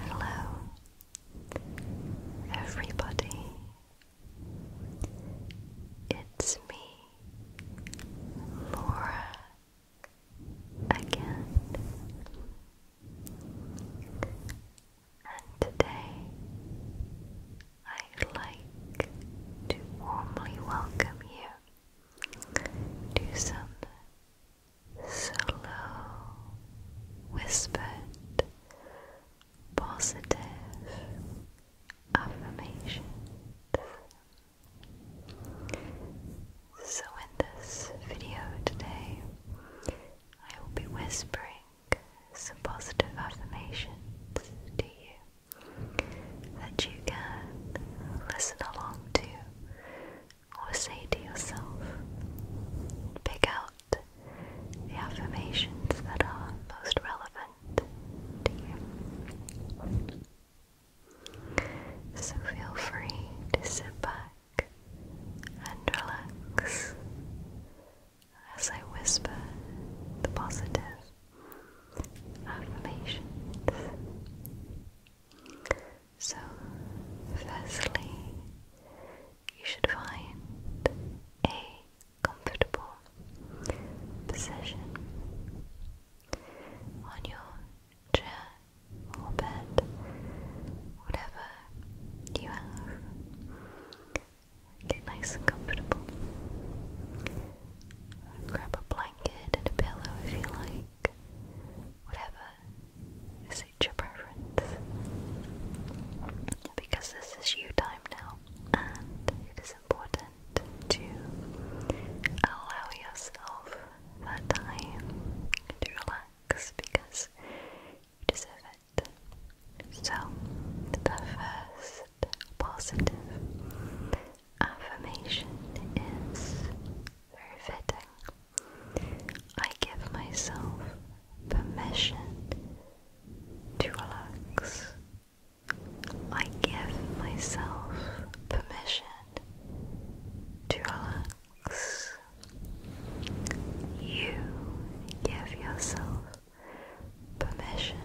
Hello, everybody. It's me, Laura, again. And today I'd like to warmly welcome you to some slow, whispered, positive affirmations. So, in this video today, I will be whispering some positive affirmations to you that you can listen along to or say to yourself, pick out the affirmations that are most relevant to you. So feel free to sit back and relax as I whisper the positive affirmations. So, firstly, you should find a comfortable position on your chair or bed, whatever you have. Get nice and comfortable. Grab a blanket and pillow if you like whatever suits your preference. Because this is you time now, and it is important to allow yourself that time to relax because you deserve it. So, the first positive affirmation is very fitting. I give myself permission to relax. I give myself permission to relax. You give yourself permission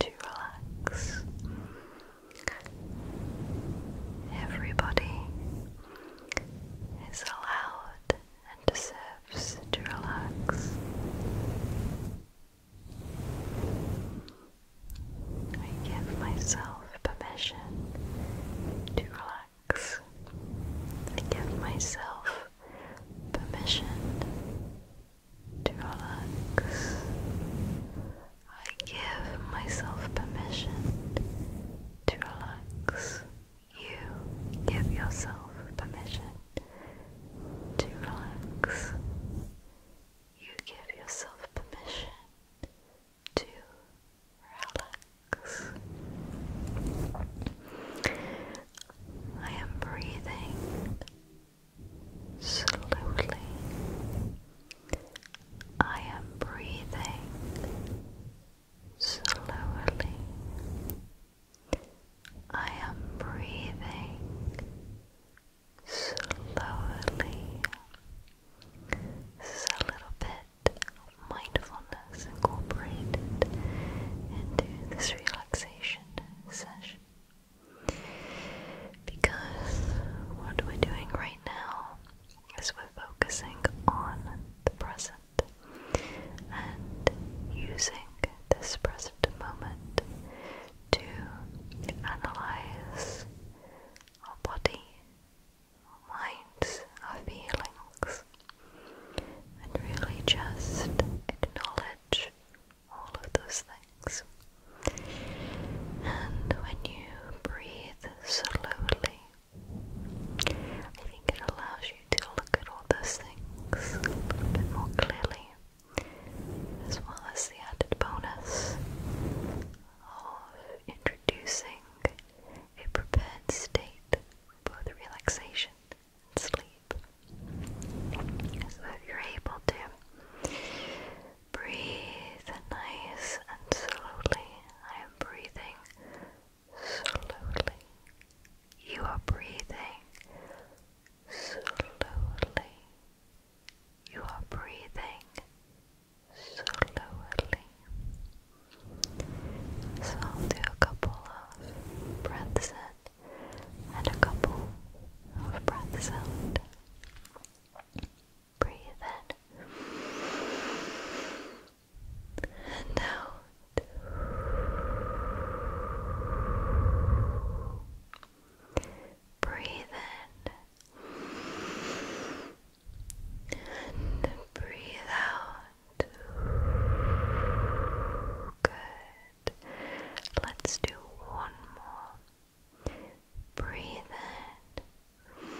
to relax. Everybody is allowed and deserves to relax. I give myself permission to relax. I give myself permission to relax. I give myself permission to relax. You give yourself permission to relax. You give yourself permission to relax. I am breathing slowly. I am breathing slowly. I am breathing slowly. This is a little bit of mindfulness incorporated into this relaxation session. Because what we're doing right now is we're focusing on the present and using this present moment to analyze our body, our minds, our feelings, and really just acknowledge all of those things legs. And when you breathe slowly, I think it allows you to look at all those things a bit more clearly, as well as the added bonus of introducing a prepared state for both relaxation and sleep. So if you're able to Breathe nice and slowly. I am breathing slowly. You are breathing slowly. You are breathing slowly. So I'll do a couple of breaths in and a couple of breaths out. Breathe in and out. Breathe in and breathe out. Good. Let's do one more. Breathe in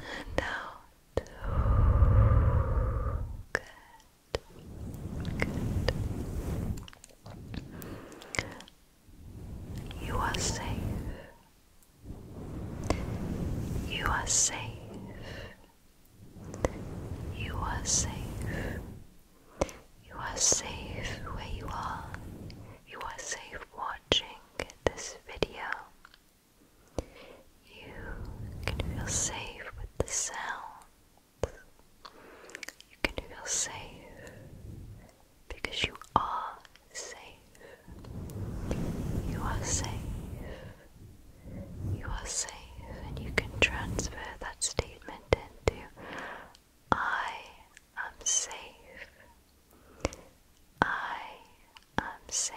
and out. Good. You are safe. You are safe. You are safe. You are safe where you are. You are safe watching this video. You can feel safe with the sound. You can feel safe because you are safe. You are safe. You are safe, and you can transfer that statement into I am safe. I am safe.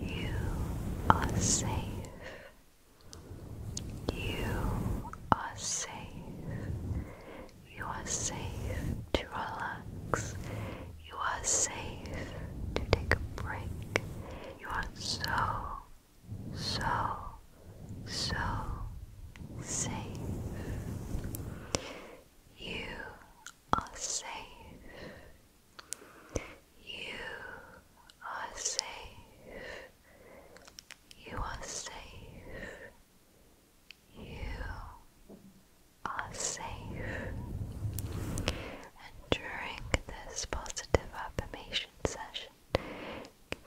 You are safe. You are safe. You are safe to relax. You are safe to take a break. You are so so, so safe. You are safe. You are safe. You are safe. You are safe. And during this positive affirmation session,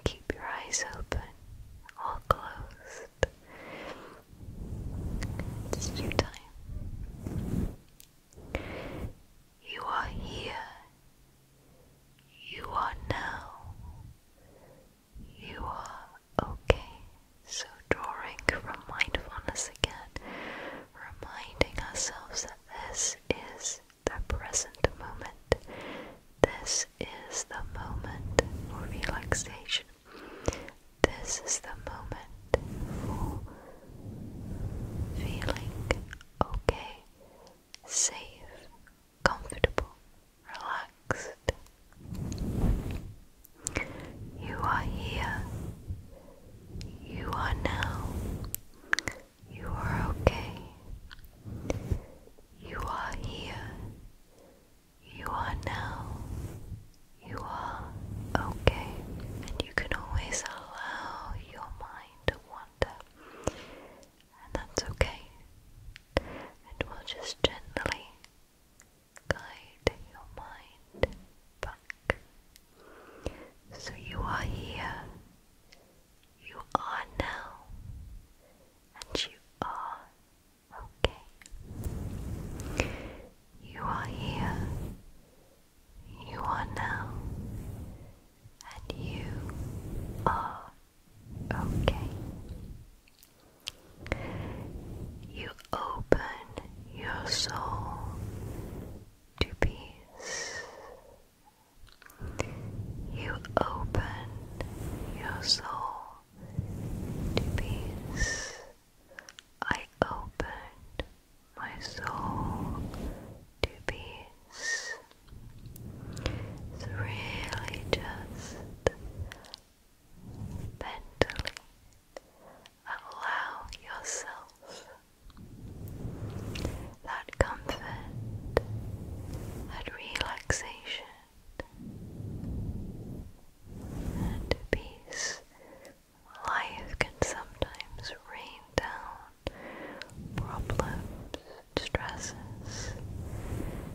Keep your eyes open or closed. It's your time. You are here. You are now. You are okay. So, drawing from mindfulness again, reminding ourselves that this is the present moment. This is the moment for relaxation. This is the moment for feeling okay, safe, comfortable, relaxed. You are here. You are now. You are okay. You are here. You are now. You are okay. And you can always allow your mind to wander. And that's okay. And will just gently guide your mind back. So you are here. You are now, and you are okay. You are here, you are now, and you are okay. You open your soul to peace you open your soul to peace. I opened my soul to peace. It's really just mentally allow yourself that comfort, that relaxation, and peace. Life can sometimes rain down problems, stresses.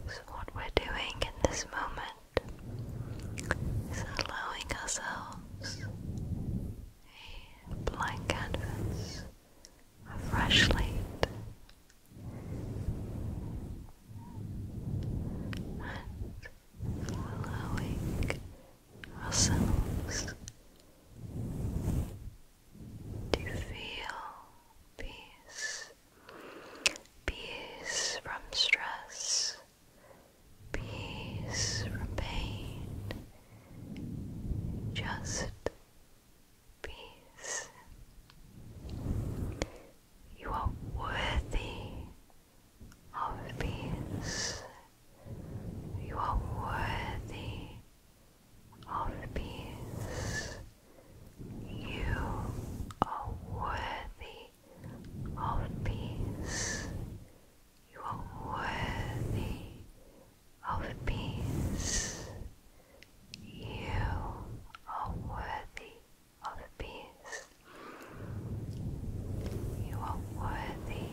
So, what we're doing in this moment is allowing ourselves a blank canvas a fresh light, and allowing ourselves to feel peace, peace from stress, peace from pain. Just peace. You are worthy of peace. You are worthy of peace. You are worthy of peace. You are worthy of peace. You are worthy of peace. You are worthy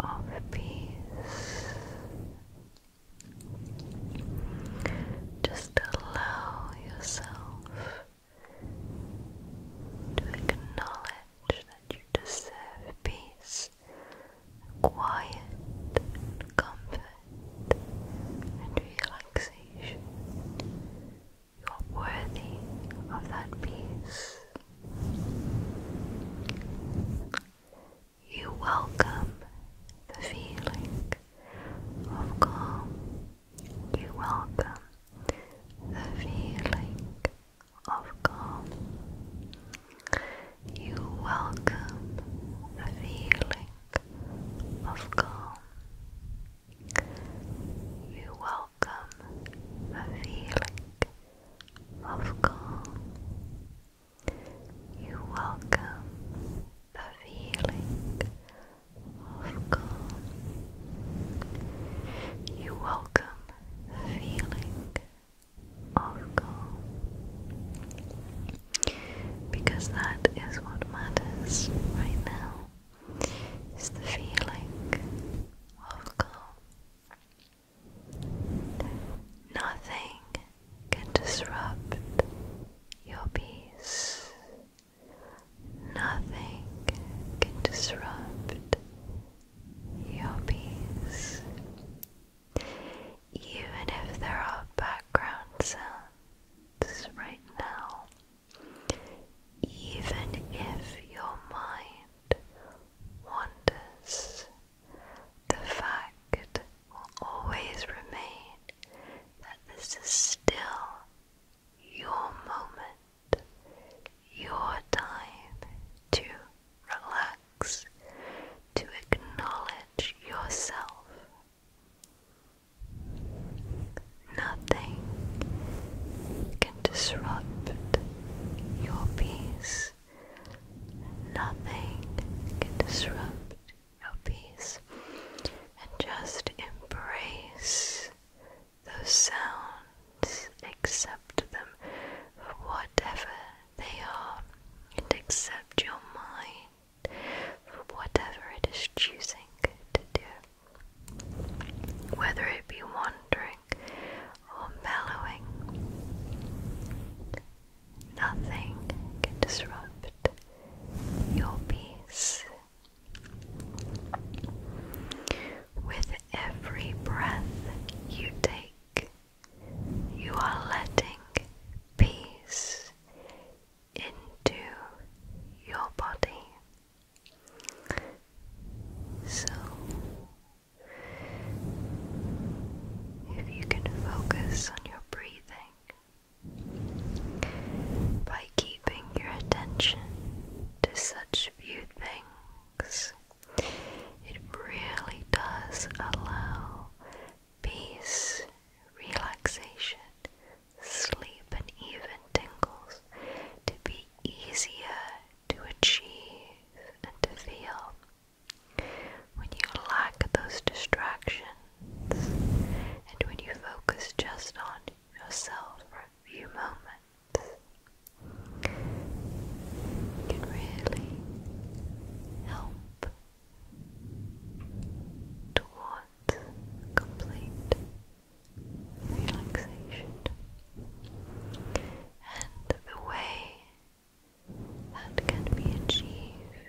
of peace. Just allow yourself to acknowledge that you deserve peace quiet and comfort and relaxation. You are worthy of that peace. You welcome the feeling of calm. You welcome the feeling of calm. You welcome a feeling of calm. You welcome a feeling of calm. You welcome a feeling of calm. You welcome the feeling of calm. Because that is what matters right now, is the feeling of calm. Nothing can disrupt your peace. Nothing can disrupt your peace even if there are background sounds right now, even if your mind wanders, the fact will always remain that this is still your moment, your time to relax to acknowledge yourself. Nothing can disrupt your peace. Nothing can disrupt your peace. And just embrace those sounds, accept them for whatever they are, and accept your mind for whatever it is choosing to do, whether it be wandering or mellowing. Nothing can disrupt your peace. With every breath you take, you are letting peace into your body. So, if you can focus on your breathing by keeping your attention to such few things it really does allow peace, relaxation, sleep, and even tingles to be easier to achieve and to feel. When you lack those distractions and when you focus just on yourself for a few moments, can really help towards complete relaxation. And the way that can be achieved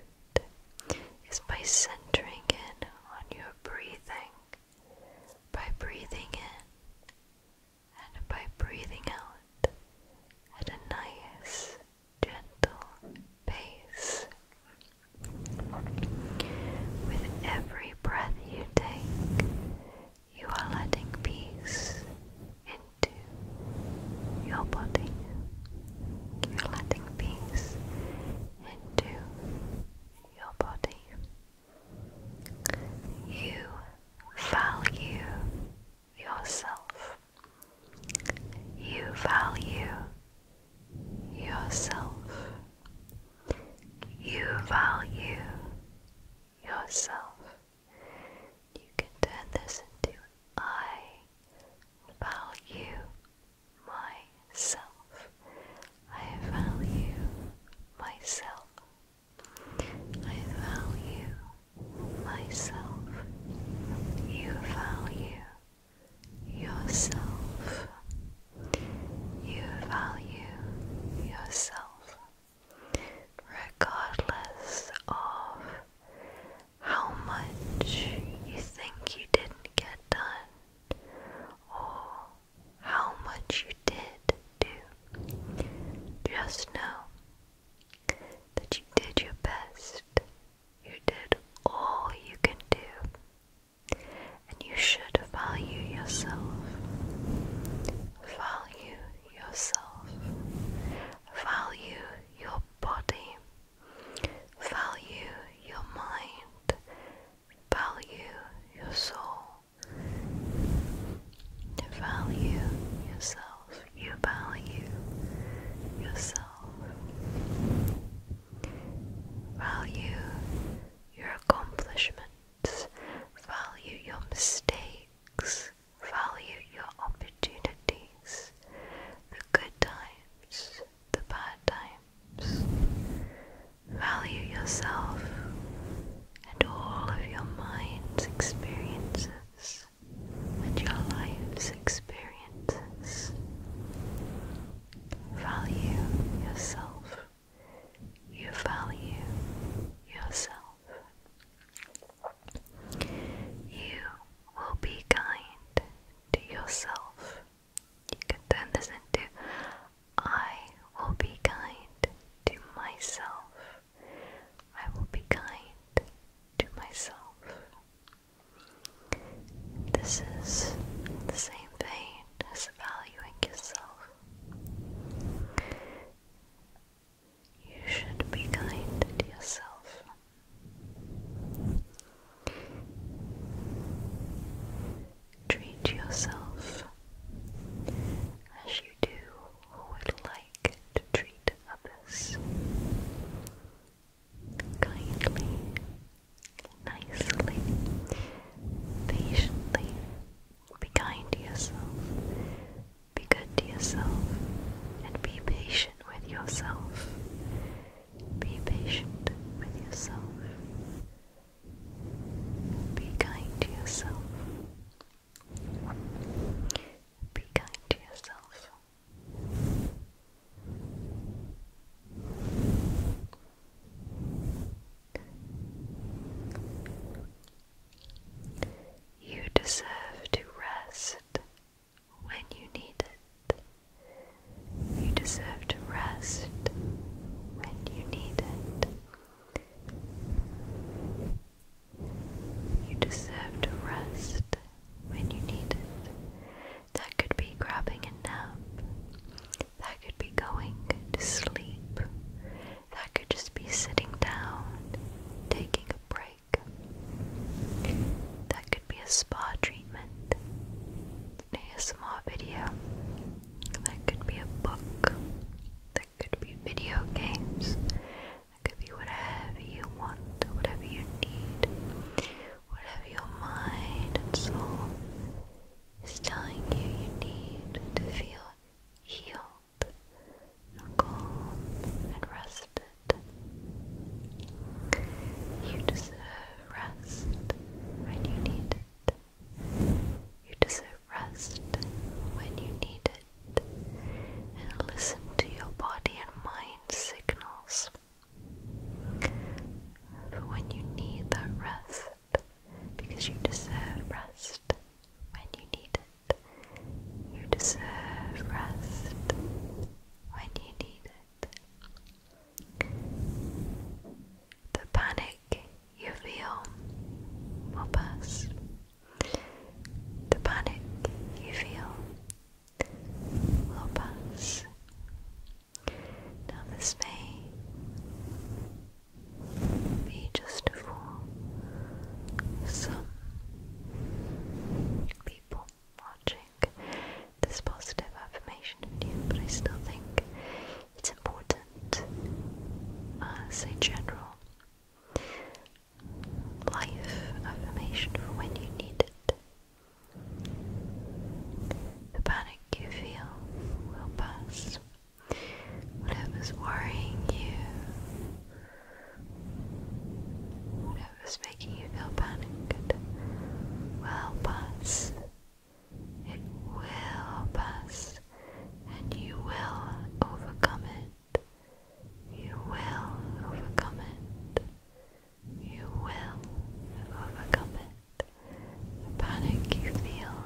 is by centering in on your breathing, by breathing in and by breathing out at a nice, gentle pace. With every breath you take, you are letting peace into your body. You're letting peace into your body. You value yourself. You value yourself. You value yourself. You can turn this into I value myself. I value myself. I value myself. You value yourself. You value yourself regardless of how much you think you didn't get done or how much you did do. Just know that you did your best, you did all you can do, and you should value yourself. Value yourself. Value your body. Value your mind. Value your soul. Value yourself you value yourself, value your accomplishments, value your mistakes, value your opportunities, the good times, the bad times. Value yourself and all of your mind's experiences and your life's experiences. Value yourself. You value yourself. You will be kind to yourself. You can turn this into I will be kind to myself. I will be kind to myself. This is the same vein as valuing yourself. You should be kind to yourself. Treat yourself as you do who would treat others kindly, nicely, patiently. Be kind to yourself, be good to yourself, and be patient with yourself. Be patient with yourself. Be kind to yourself. Be kind to yourself. You deserve to rest when you need it. You deserve to rest when you need it. You deserve to rest when you need it. That could be grabbing a nap. That could be going to sleep. That could just be sitting down, taking a break. That could be a spa treatment, an ASMR video. That could be a book. It could be video games. It could be whatever you want, whatever you need, whatever your mind and soul is telling you you need to feel healed and calm and rested. You deserve rest when you need it. You deserve rest when you need it and listen to your body and mind signals for when you need that rest because you deserve rest when you need it. You deserve rest when you need it. The panic you feel will pass. The panic you feel will pass. Now, this may be just for some people watching this positive affirmation video, but I still think it's important as general life affirmation for when you need it. The panic you feel will pass. Whatever's worrying you, whatever's making you feel panicked, will pass. It will pass, and you will overcome it. You will overcome it. You will overcome it. The panic you feel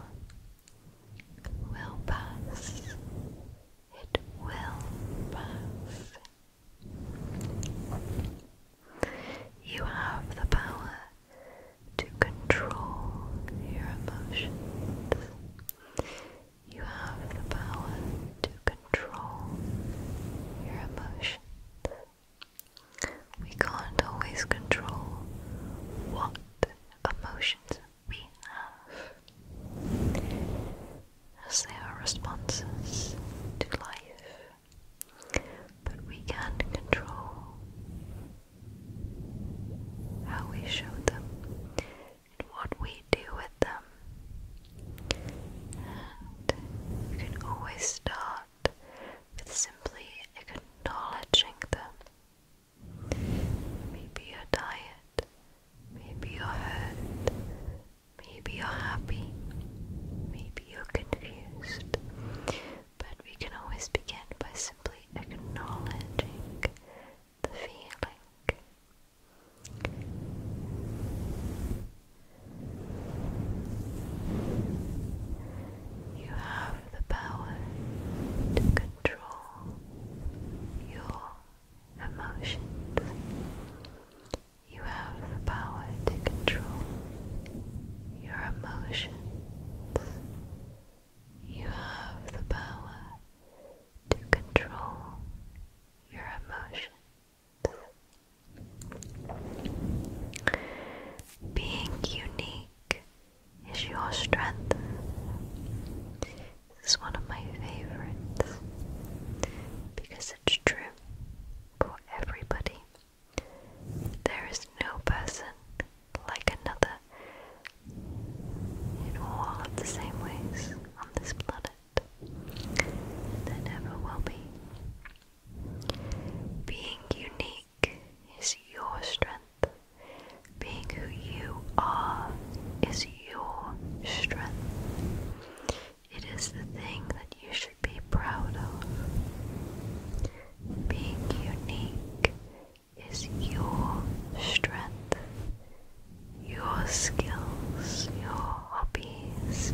will pass. It will pass. You have the power to control your emotions. You have the power to control your emotions. We can't always control what emotions we have, they are responses to life, but we can control how we show them what we do with them. And you can always start with simply acknowledging them. Maybe you're tired, maybe you're hurt, maybe you're happy, maybe you're confused. But we can always begin by simply acknowledging the feeling. You have the power to control your emotions. You have the power to control your emotions. You have the power to control your emotions. Being unique is your strength. This is one of my favorites because it's true for everybody. There is no person like another in all the same ways on this planet. And there will be. Being unique is your strength. Being who you are is your strength. It is the thing that you should be proud of. Being unique is your strength, your skills, your hobbies,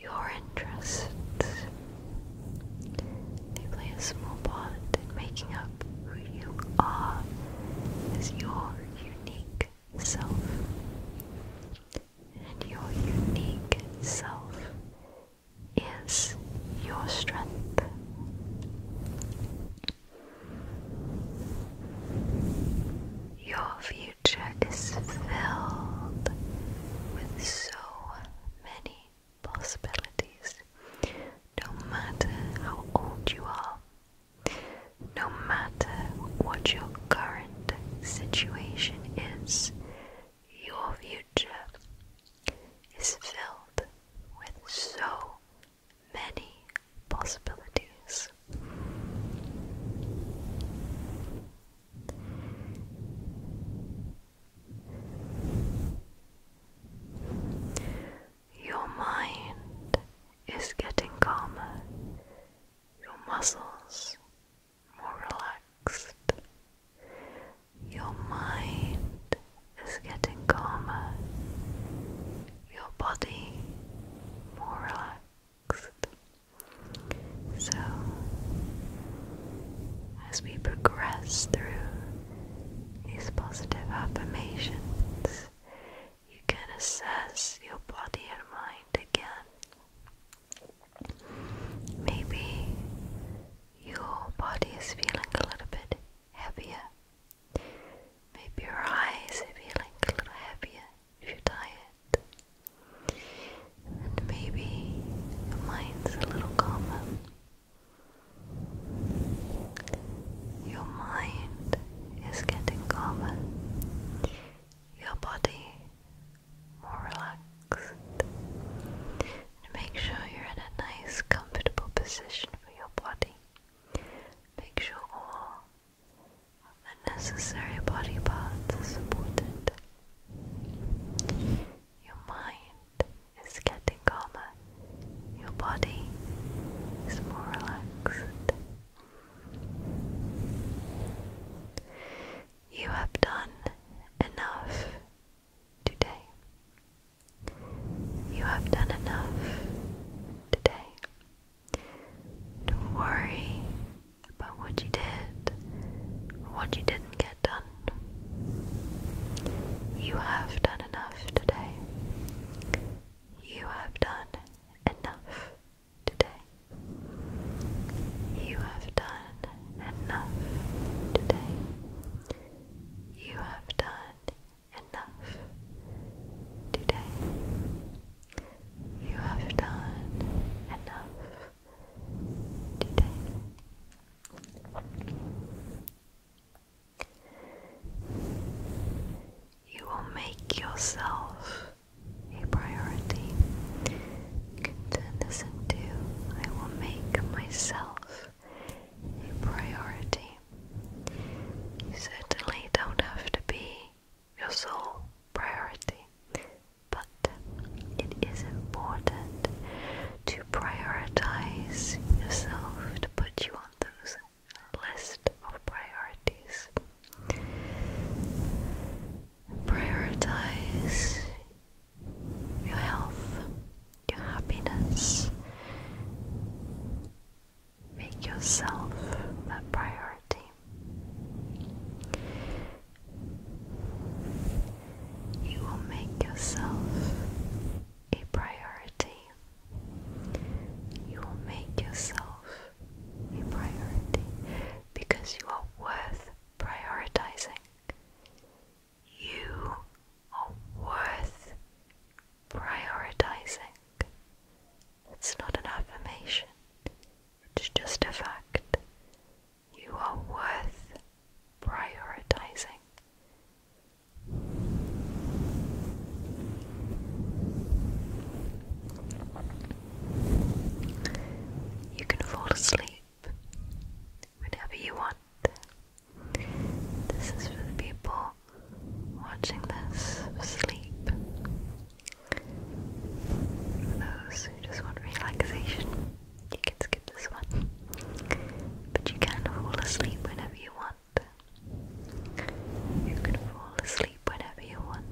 your interests. They play a small part in making up who you are Is your unique self. And your unique self is your strength. Your future is filled with so many possibilities, no matter how old you are, no matter what your current situation is, your future is filled with so many possibilities. Your mind is getting calmer, your muscles more relaxed, your mind is getting calmer, your body more relaxed. So, as we progress through these positive affirmations, you can assess your body and mind again. Maybe your body is feeling a little bit heavier Maybe your eyes are feeling a little happier if you're tired. And maybe your mind's a little calmer. Your mind is getting calmer. Your body more relaxed. And make sure you're in a nice comfortable position for your body. Make sure all of body parts are supported. Your mind is getting calmer, your body is more relaxed. You have done enough today. You have done enough today. Don't worry about what you did what you didn't get done. You have done enough today. You have done enough today. You have done enough today. You have done enough today. You have done enough today. You will make yourself a priority. You can turn this into I will make myself a priority. You certainly don't have to be your sole priority, but it is important to prioritize yourself to put you on those list of priorities. Prioritize your health, your happiness. Make yourself a priority. You will make yourself a priority. You will make yourself a priority because you are worth prioritizing you are worth prioritizing. It's not an affirmation, it's just a fact. You are worth prioritizing. You can fall asleep whenever you want. This is for the people watching this sleep. For those who just want relaxation, you can skip this one. But you can fall asleep whenever you want. You can fall asleep whenever you want.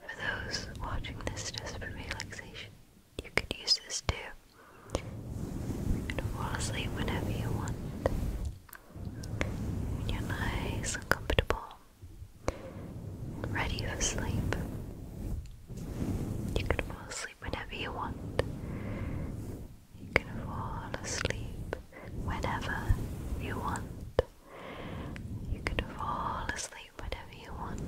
For those watching this just for relaxation, you could use this too. You can fall asleep whenever you want. When you're nice and comfortable, ready for sleep. You can fall asleep whenever you want. You can fall asleep whenever you want. You can fall asleep whenever you want.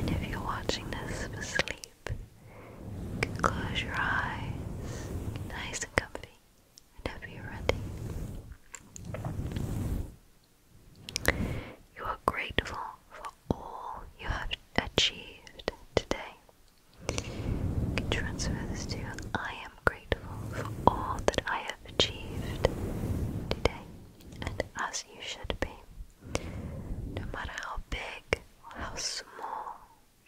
And if you're watching this for sleep, close your eyes, nice and comfy, whenever you're ready. You are grateful for all you have achieved today. transfer this to I am grateful for all that I have achieved today, and as you should be. No matter how big how small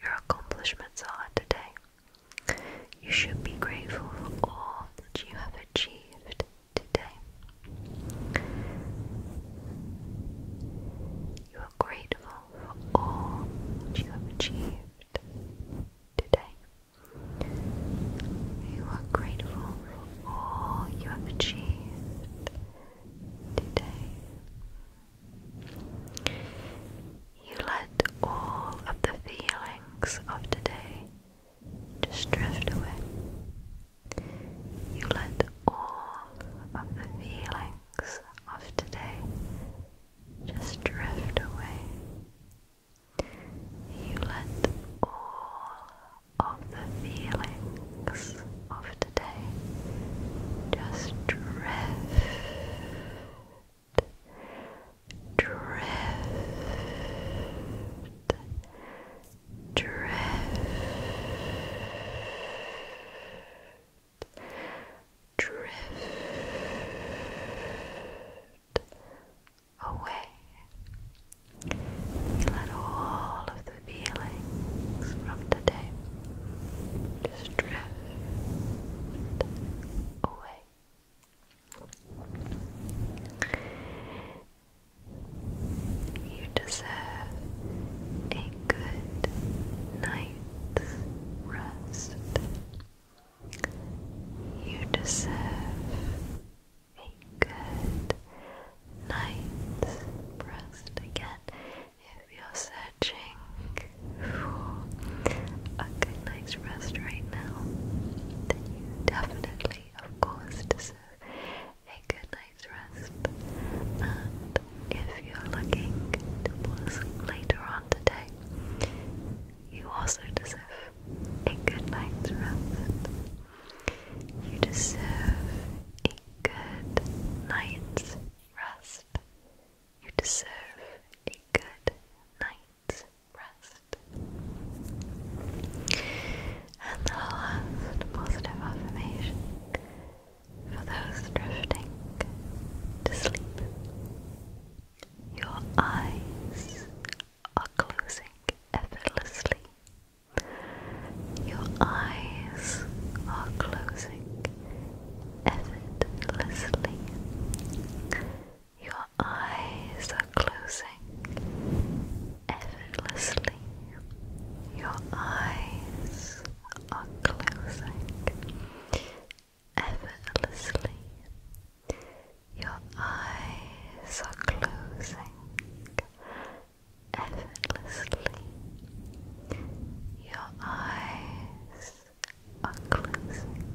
your accomplishments are today. You should be grateful for all that you have achieved today. You are grateful for all that you have achieved today. You are grateful for all you have achieved today. You let all of the feelings of today just drift away. You let all of the feelings of today just drift away. You let all of the feelings of just drift, drift, drift. Drift away. Let all of the feelings Just drift away. You deserve a good night's rest. You deserve a good night's rest again if you're searching for a good night's rest right now, then you definitely, of course, deserve a good night's rest. And if you're looking to fall later on today, you also deserve a good night's rest. You deserve good night's rest. You deserve a good night's rest. And the last positive affirmation for those drifting to sleep. Your eyes are closing effortlessly your eyes are closing effortlessly. Your eyes are closing effortlessly. Your eyes are closing effortlessly. Your eyes are closing effortlessly. Your eyes are closing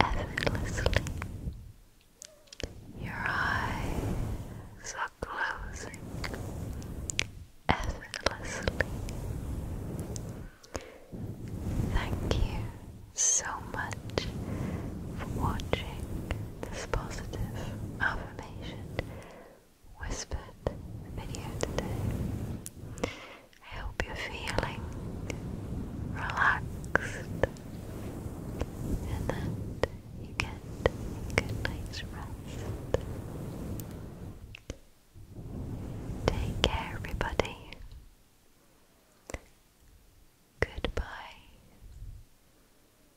effortlessly. Your eyes are closing effortlessly. Thank you so much for watching this positive affirmation whispered video today. I feeling relaxed and that you get a good night's rest. Take care, everybody. Goodbye.